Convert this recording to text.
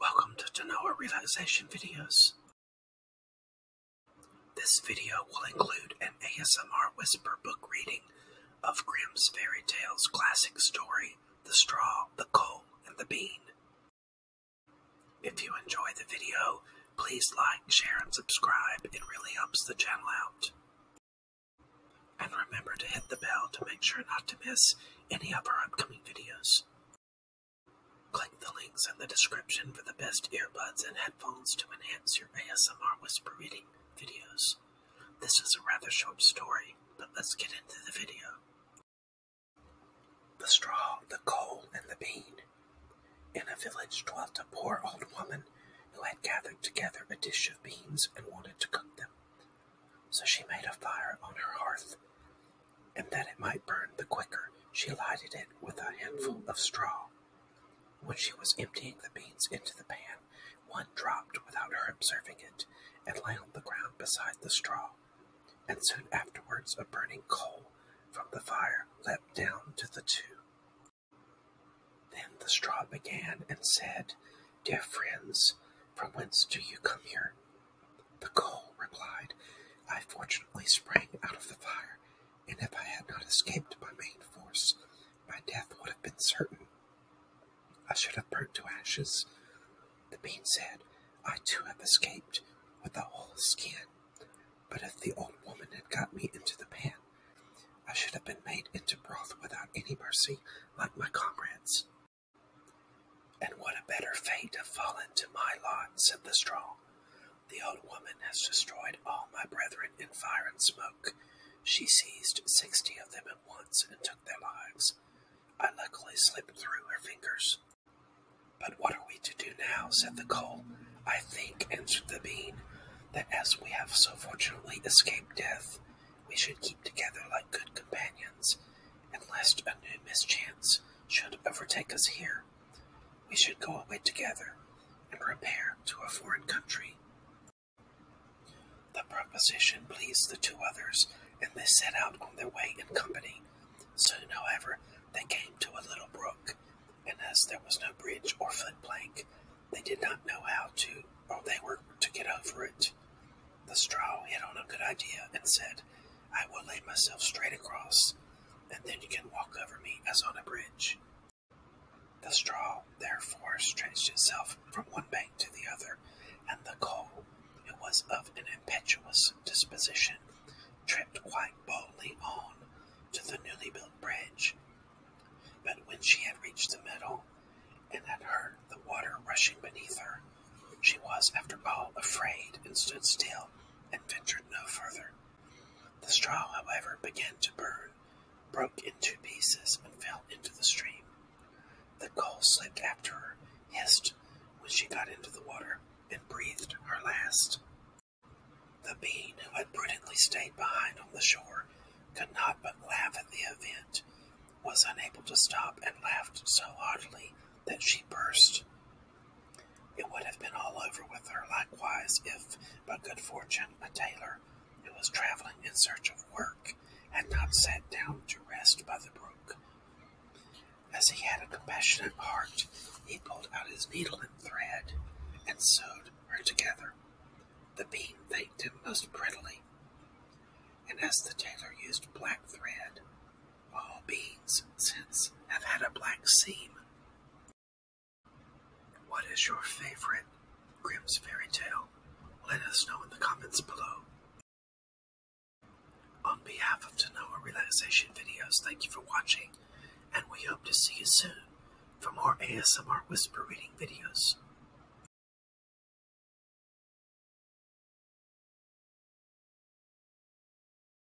Welcome to Genoa Relaxation Videos. This video will include an ASMR whisper book reading of Grimm's Fairy Tales classic story, The Straw, the Coal, and the Bean. If you enjoy the video, please like, share, and subscribe. It really helps the channel out. And remember to hit the bell to make sure not to miss any of our upcoming videos. Click the links in the description for the best earbuds and headphones to enhance your ASMR whispering videos. This is a rather short story, but let's get into the video. The straw, the coal, and the bean. In a village dwelt a poor old woman who had gathered together a dish of beans and wanted to cook them. So she made a fire on her hearth, and that it might burn the quicker, she lighted it with a handful of straw. When she was emptying the beans into the pan, one dropped without her observing it and lay on the ground beside the straw, and soon afterwards a burning coal from the fire leapt down to the two. Then the straw began and said, Dear friends, from whence do you come here? The coal replied, I fortunately sprang out of the fire, and if I had not escaped by main force, my death would have been certain. I should have burnt to ashes. The bean said, I too have escaped with a whole skin, but if the old woman had got me into the pan, I should have been made into broth without any mercy, like my comrades. And what a better fate have fallen to my lot, said the strong. The old woman has destroyed all my brethren in fire and smoke. She seized sixty of them at once and took their lives. I luckily slipped through her fingers. But what are we to do now? said the coal. I think, answered the bean, that as we have so fortunately escaped death, we should keep together like good companions, and lest a new mischance should overtake us here, we should go away together and repair to a foreign country. The proposition pleased the two others, and they set out on their way in company, Soon, however, they came to a little brook, and as there was no bridge or foot plank, they did not know how to, or they were to get over it. The straw hit on a good idea and said, I will lay myself straight across, and then you can walk over me as on a bridge. The straw therefore stretched itself from one bank to the other and the Gaul, who was of an impetuous disposition, tripped quite boldly on to the newly built bridge. But when she had reached the middle and had heard the water rushing beneath her, she was, after all, afraid and stood still and ventured no further. The straw, however, began to burn, broke in two pieces, and fell into the stream. The gull slipped after her, hissed when she got into the water, and breathed her last. The bean, who had prudently stayed behind on the shore, could not but laugh at the event, was unable to stop, and laughed so heartily that she burst. It would have been all over with her likewise if, by good fortune, a tailor who was traveling in search of work, had not sat down to rest by the brook. As he had a compassionate heart, he pulled out his needle and thread and sewed her together. The bean thanked him most prettily, and as the tailor used black thread, all beans since have had a black seam. What is your favorite Grimm's fairy tale? Let us know in the comments below. On behalf of Tanoa Relaxation Videos, thank you for watching, and we hope to see you soon for more ASMR whisper reading videos.